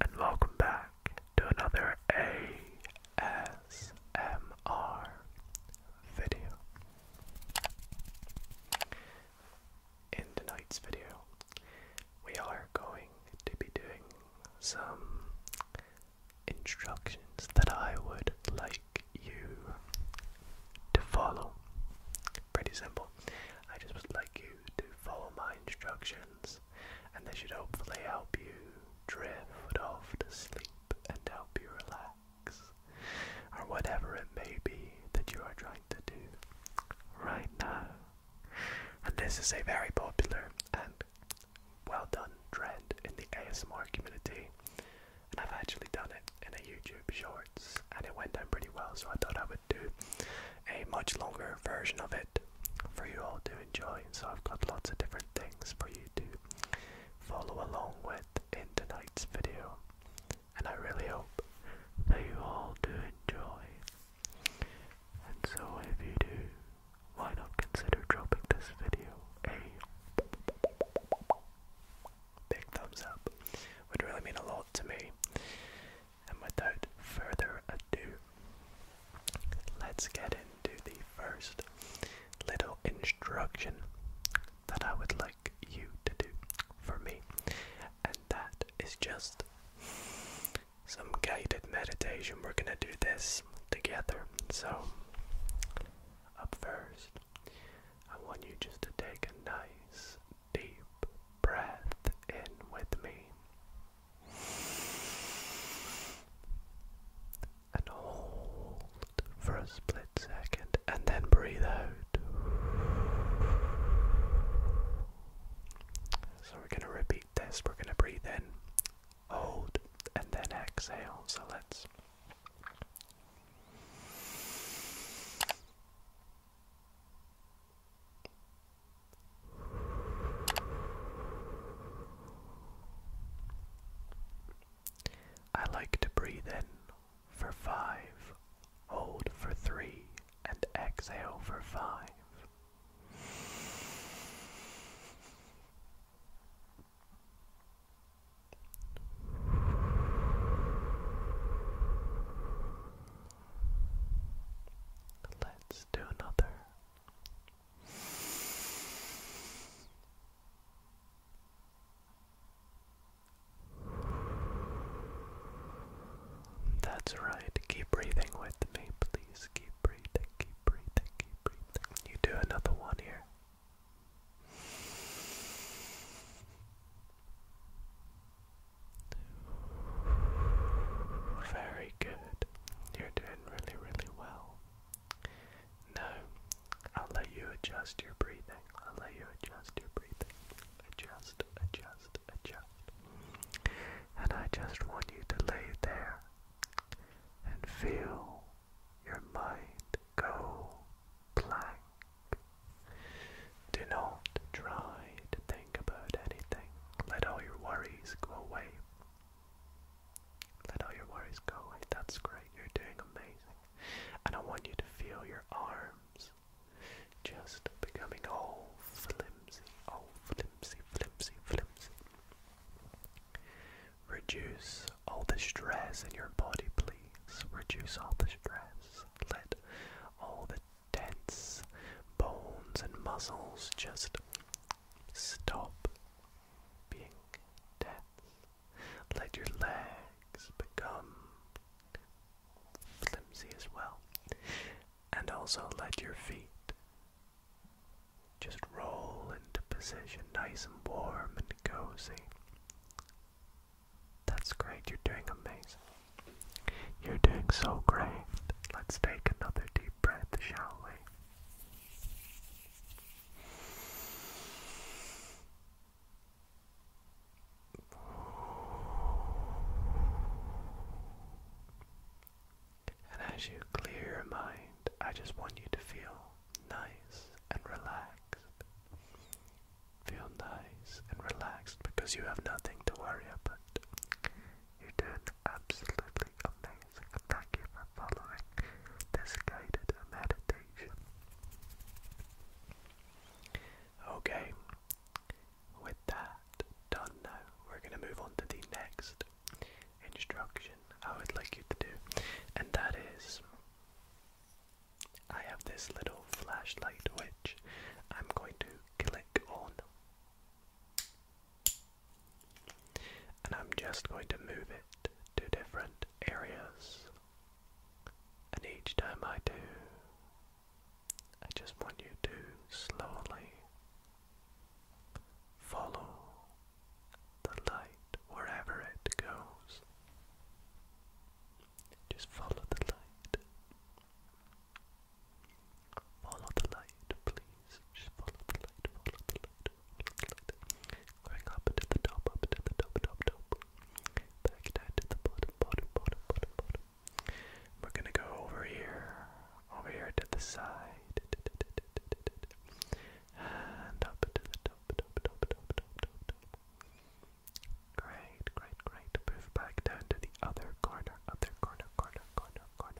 and welcome back to another ASMR video. In tonight's video, we are going to be doing some instructions that I would like you to follow. Pretty simple. I just would like you to follow my instructions and they should hopefully help you drift off to sleep and help you relax, or whatever it may be that you are trying to do right now. And this is a very popular and well done trend in the ASMR community, and I've actually done it in a YouTube Shorts, and it went down pretty well, so I thought I would do a much longer version of it for you all to enjoy. So I've got lots of different things for you to follow along with in tonight's video. And I really hope that you all do enjoy. And so if you do, why not consider dropping this video a big thumbs up? Would really mean a lot to me. And without further ado, let's get into the first little instruction that I would like you to do for me. And that is just some guided meditation. We're going to do this together. So, up first, I want you just to take a nice deep breath in with me and hold for a split second and then breathe out. So we're going to repeat this. We're going to breathe in, hold, and then exhale. So let's. I like to breathe in for five, hold for three, and exhale for five minutes to another. That's right. Keep breathing with me, please. Keep breathing, keep breathing, keep breathing. You do another one here. Very good. You're doing really, really well. No, I'll let you adjust your breathing. I'll let you adjust your breathing. Adjust, adjust, adjust. And I just want you to lay there and feel your mind go blank. Do not try to think about anything. Let all your worries go away. Let all your worries go away. That's great. You're doing amazing. And I want you to feel your arms just becoming all flimsy, all flimsy, flimsy, flimsy. Reduce all the stress in your body, please. Reduce all the stress. Let all the dense bones and muscles just stop being dense. Let your legs become flimsy as well. And also let your feet just roll into position, nice and warm and cozy. That's great, you're doing amazing. You're doing so great. Let's take another deep breath, shall we? And as you clear your mind, I just want you to feel nice and relaxed. Feel nice and relaxed because you have nothing to worry about. You're doing absolutely amazing. Thank you for following this guided meditation. Okay, with that done now, we're going to move on to the next instruction I would like you to do, and that is I have this little flashlight which I'm going to click on. And I'm just going to move it to different areas. And each time I do, I just want you to slowly follow the light wherever it goes. Just follow the light. Follow the light, please. follow the light, follow the light, follow the light. up to the top, up to the top, top, top. Back down to the bottom, bottom, bottom, bottom, bottom. We're gonna go over here, over here to the side. And up to the top, top, top, top, top, top, top. Great, great, great. Move back down to the other corner, other corner, corner, corner, corner.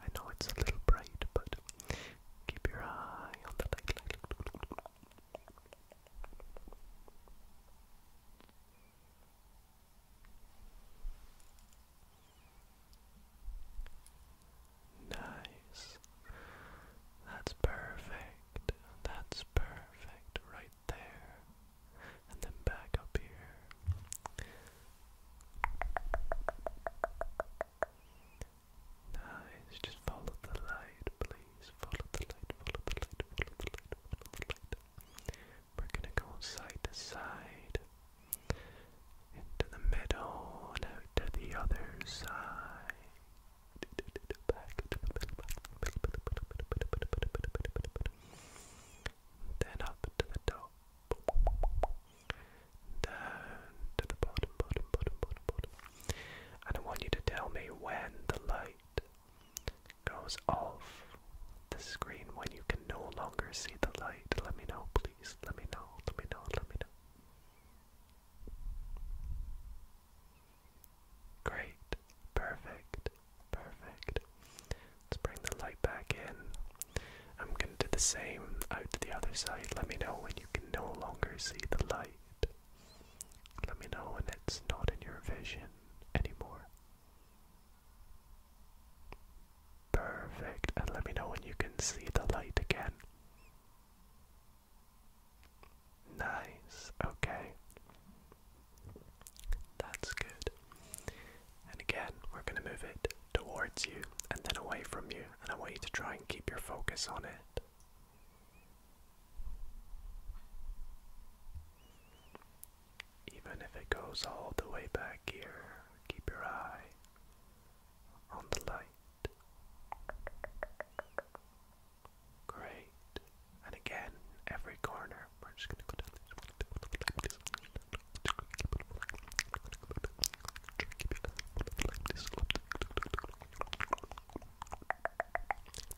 I know it's a little bright, but keep your eye on the light. light. Nice. That's perfect. That's perfect right there. And then back up here. Nice, just follow the light, please. Follow the light, follow the light, follow the light, follow the light. We're gonna go side to side, into the middle, and out to the other side. Back Then up to the top down to the bottom, bottom, bottom, bottom, bottom. And I want you to tell me when the light goes off the screen, when you can no longer see the light. Let me know, please. Let me know, let me know, let me know. Great, perfect, perfect. Let's bring the light back in. I'm gonna do the same out to the other side. Let me know when you can no longer see the light. Let me know when it's not in your vision anymore. Perfect. And let me know when you can see the light again. Nice. Okay. That's good. And again, we're going to move it towards you and then away from you, and I want you to try and keep your focus on it. Even if it goes all the way back here, keep your eye on the light. Great. And again, every corner. We're just going to go down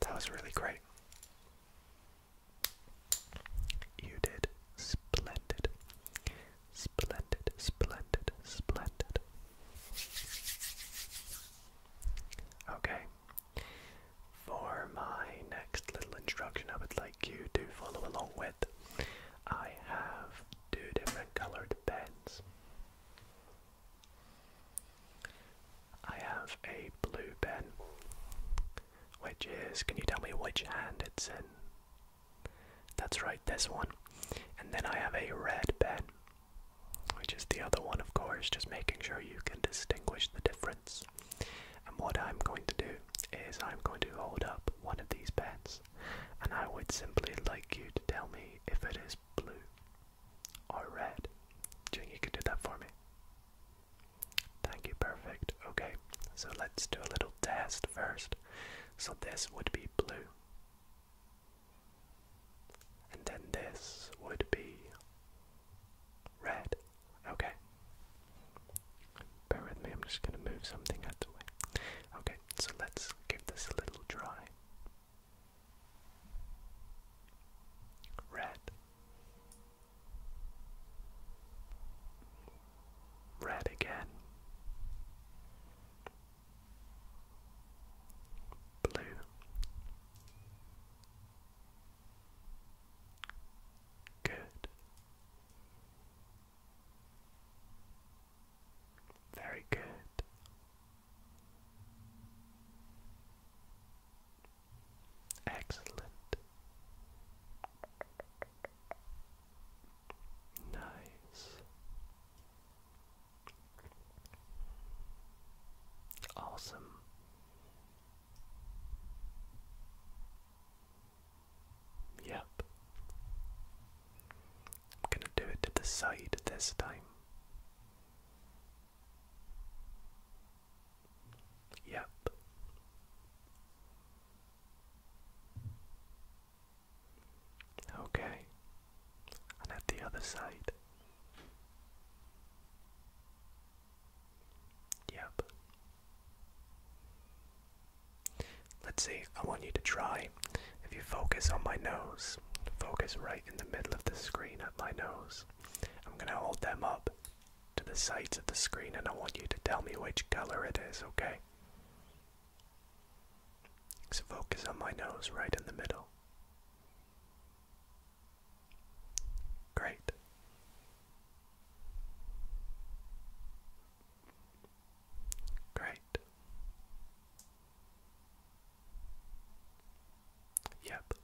that was really great. You did splendid, splendid, splendid, splendid. Okay. For my next little instruction, I would like you to follow along with. I have two different colored pens. I have a blue pen, which is, can you tell me which hand it's in? That's right, this one. And then I have a red pen, which is the other one, of course, just making sure you can distinguish the difference. And what I'm going to do is I'm going to hold up one of these pens and I would simply like you to tell me if it is blue or red. Do you think you could do that for me? Thank you, perfect. Okay, so let's do a little test first. So this would be blue. And then this would be red. Okay. Bear with me, I'm just going to move something out the way. Okay, so let's let give this a little try. Red. Red again. Blue. Good. Very good. Excellent. Nice. Awesome. Yep. I'm going to do it to the side this time. Yep. Okay. And at the other side. Yep. Let's see, I want you to try. If you focus on my nose, focus right in the middle of the screen at my nose. I'm going to hold them up to the sides of the screen and I want you to tell me which color it is, okay? So focus on my nose right in the middle. Great. Great. Yep.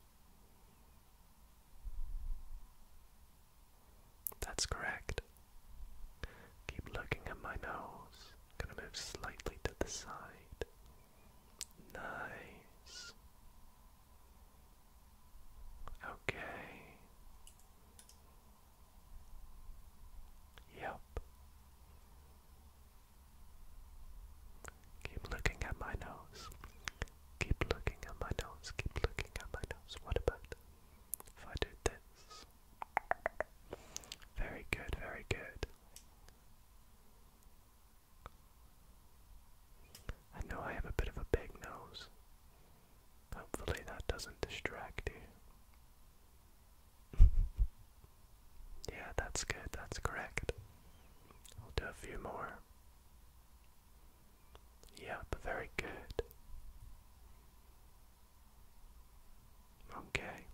That's correct. Keep looking at my nose. I'm gonna move slightly to the side. Nice. Okay. Yep. Keep looking at my nose. Keep looking at my nose. Keep looking at my nose. What about if I do this? Very good, very good. I know I have a bit of a big nose. Hopefully, that doesn't distract you. yeah, that's good. That's correct. i will do a few more. Yep, very good. Okay.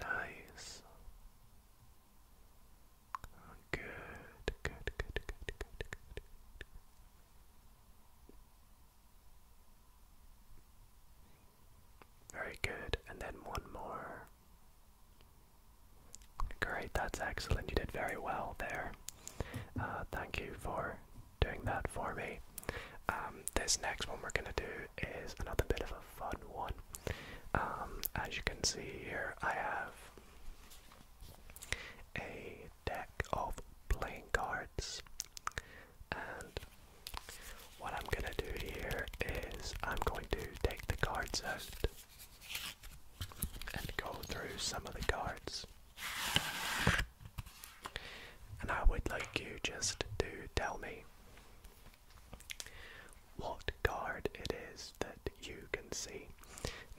Nice. Good, good, good, good, good, good, Very good, and then one more. Great, that's excellent. You did very well there. thank you for doing that for me. this next one we're going to do is another bit of a fun one. as you can see here, I have a deck of playing cards. And what I'm going to do here is I'm going to take the cards out and go through some of the cards. And I would like you just to tell me what card it is that you can see.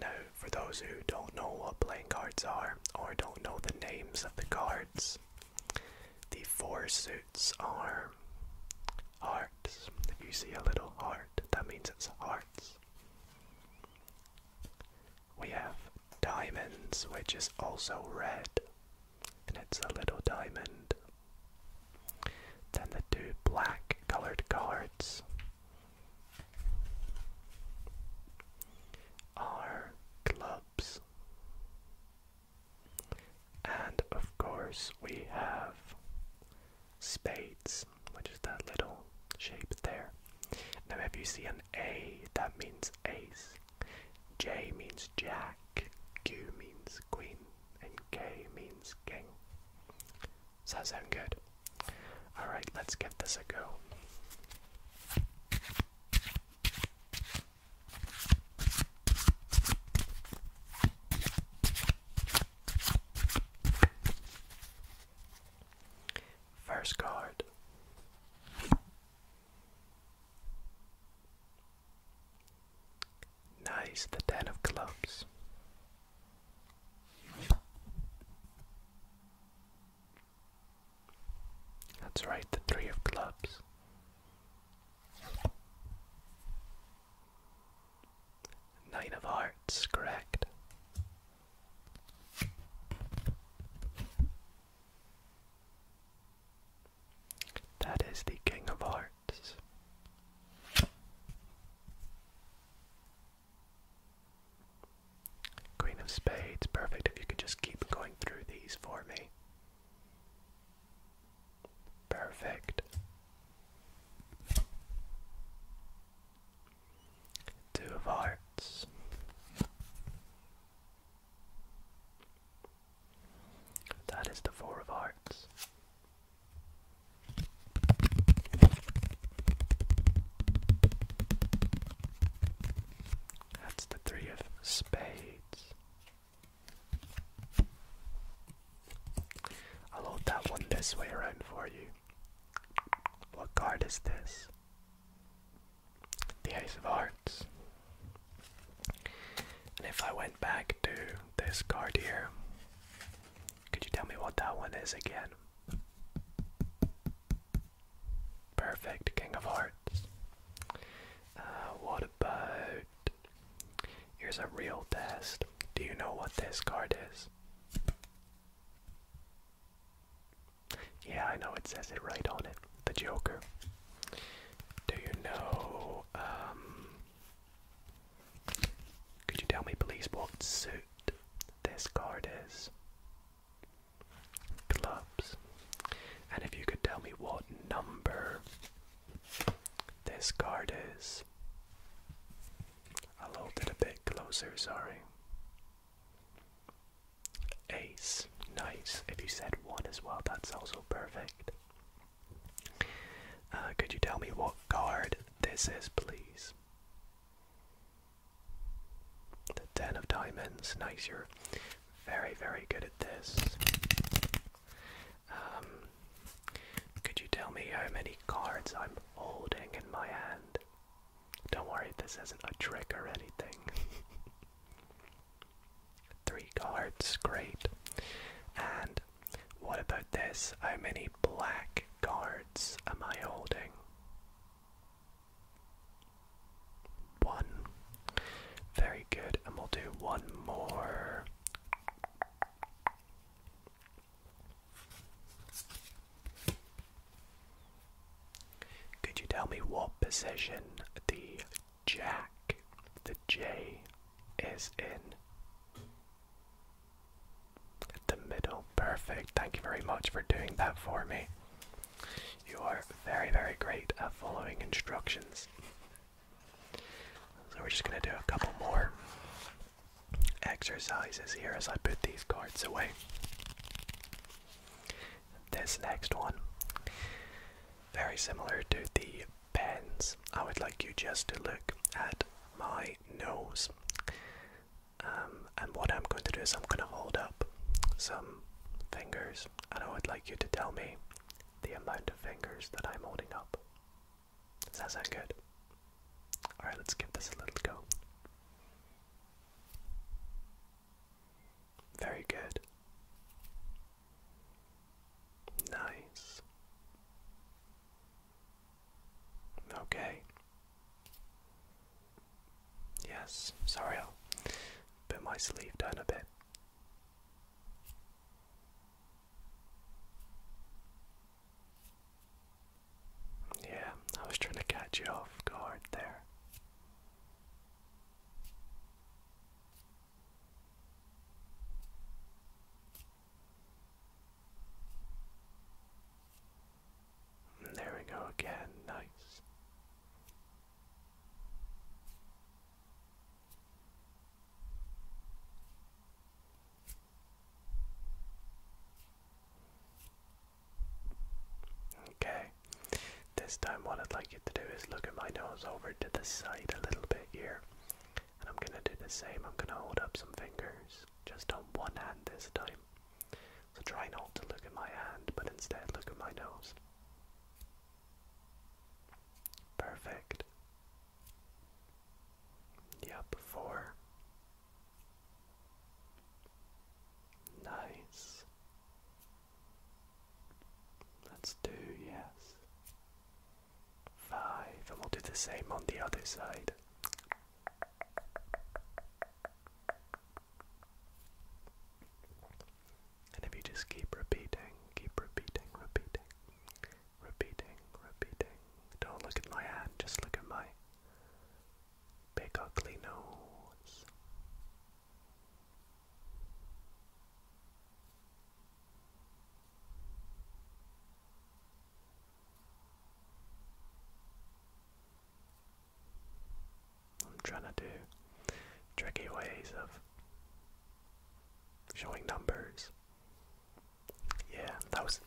Now, for those who don't know what playing cards are or don't know the names of the cards, the four suits are hearts. If you see a little heart, that means it's hearts. We have diamonds, which is also red, and it's a little diamond. Then the two black colored cards are clubs. And of course, we have spades, which is that little shape there. Now, if you see an A, that means ace, J means jack, Q means queen, and K means king. Sounds sound good? Alright, let's give this a go. First card. Nice, the Ten of Clubs. That's right, the three of clubs. Knight of hearts, correct. That is the king of hearts. Queen of Spades, perfect if you could just keep going through these for me. Perfect. Two of Hearts. That is the Four of Hearts. That's the three of spades. I'll hold that one this way around for you. What card is this? The Ace of Hearts. And if I went back to this card here, could you tell me what that one is again? Perfect, King of Hearts. Uh, what about. Here's a real test. Do you know what this card is? Yeah, I know it says it right on it. The Joker. Do you know. Um, could you tell me, please, what suit this card is? Clubs. And if you could tell me what number this card is. I'll hold it a bit closer, sorry. Ace. Nice. If you said one as well, that's also perfect. Uh, could you tell me what card this is, please? The ten of diamonds. Nice, you're very, very good at this. Um, could you tell me how many cards I'm holding in my hand? Don't worry, this isn't a trick or anything. Three cards, great. And what about this? How many black cards am I holding? One. Very good. And we'll do one more. Could you tell me what position the jack, the J, is in? the middle. Perfect. Thank you very much for doing that for me. You are very, very great at following instructions. So we're just going to do a couple more exercises here as I put these cards away. This next one, very similar to the pens, I would like you just to look at my nose um, and what I'm going to do is I'm going to hold up some fingers, and I would like you to tell me the amount of fingers that I'm holding up. Does that sound good? Alright, let's give this a little go. Very good. Nice. Okay. Yes, sorry, I'll put my sleeve down a bit. Yeah, I was trying to catch you off guard there there we go again, nice. Okay, this time what I'd like you to do is look at my nose over to the side a little bit here. And I'm gonna do the same, I'm gonna hold up some fingers just on one hand this time. So try not to look at my hand, but instead look at my nose. Perfect. Yep, four. Nice. That's two, yes. Five, and we'll do the same on the other side. And if you just keep repeating, keep repeating, repeating, repeating, repeating. Don't look at my hand, just look at my big ugly nose. I'm trying to do tricky ways of showing numbers. Yeah, that was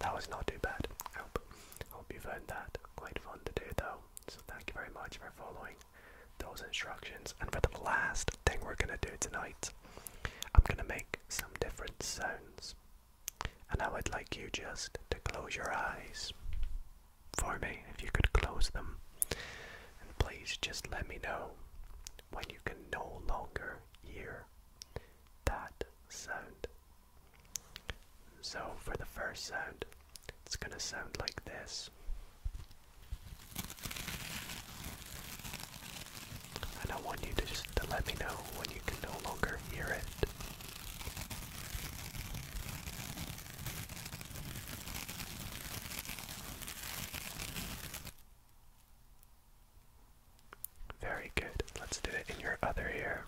that was not too bad. I hope, you found that quite fun to do though. So thank you very much for following those instructions. And for the last thing we're gonna do tonight, I'm gonna make some different sounds. And I would like you just to close your eyes for me, if you could close them. And please just let me know when you can no longer hear that sound. So, for the first sound, it's going to sound like this and I want you to just to let me know when you can no longer hear it. Very good. Let's do it in your other ear.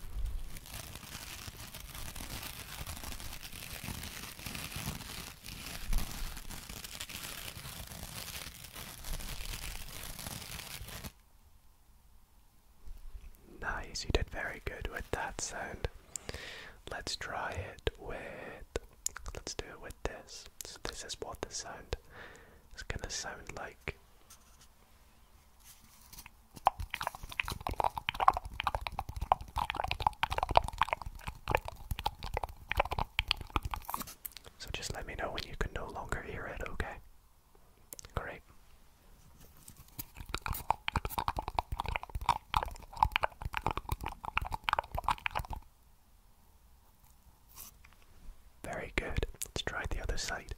Nice, you did very good with that sound. Let's try it with. Let's do it with this. So, this is what the sound is gonna sound like. So, just let me know when you can no longer hear it, okay? Great. Very good. Let's try the other side.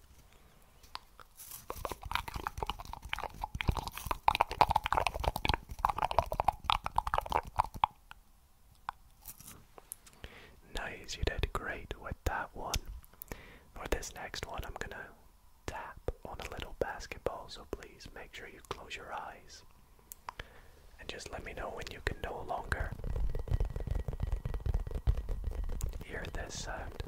Nice, you did great with that one. For this next one, I'm gonna tap on a little basketball, so please make sure you close your eyes. And just let me know when you can no longer hear this sound.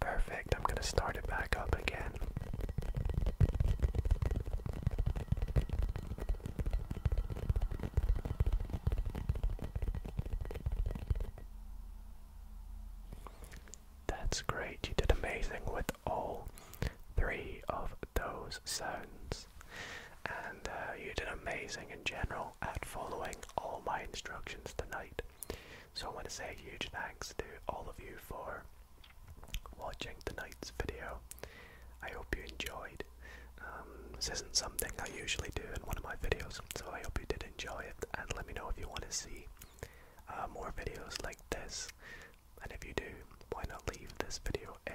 Perfect, I'm going to start it back up again. That's great, you did amazing with all three of those sounds. And uh, you did amazing in general at following all my instructions tonight. So I want to say a huge thanks to all of you for watching tonight's video. I hope you enjoyed. Um, this isn't something I usually do in one of my videos, so I hope you did enjoy it. And let me know if you want to see uh, more videos like this. And if you do, why not leave this video a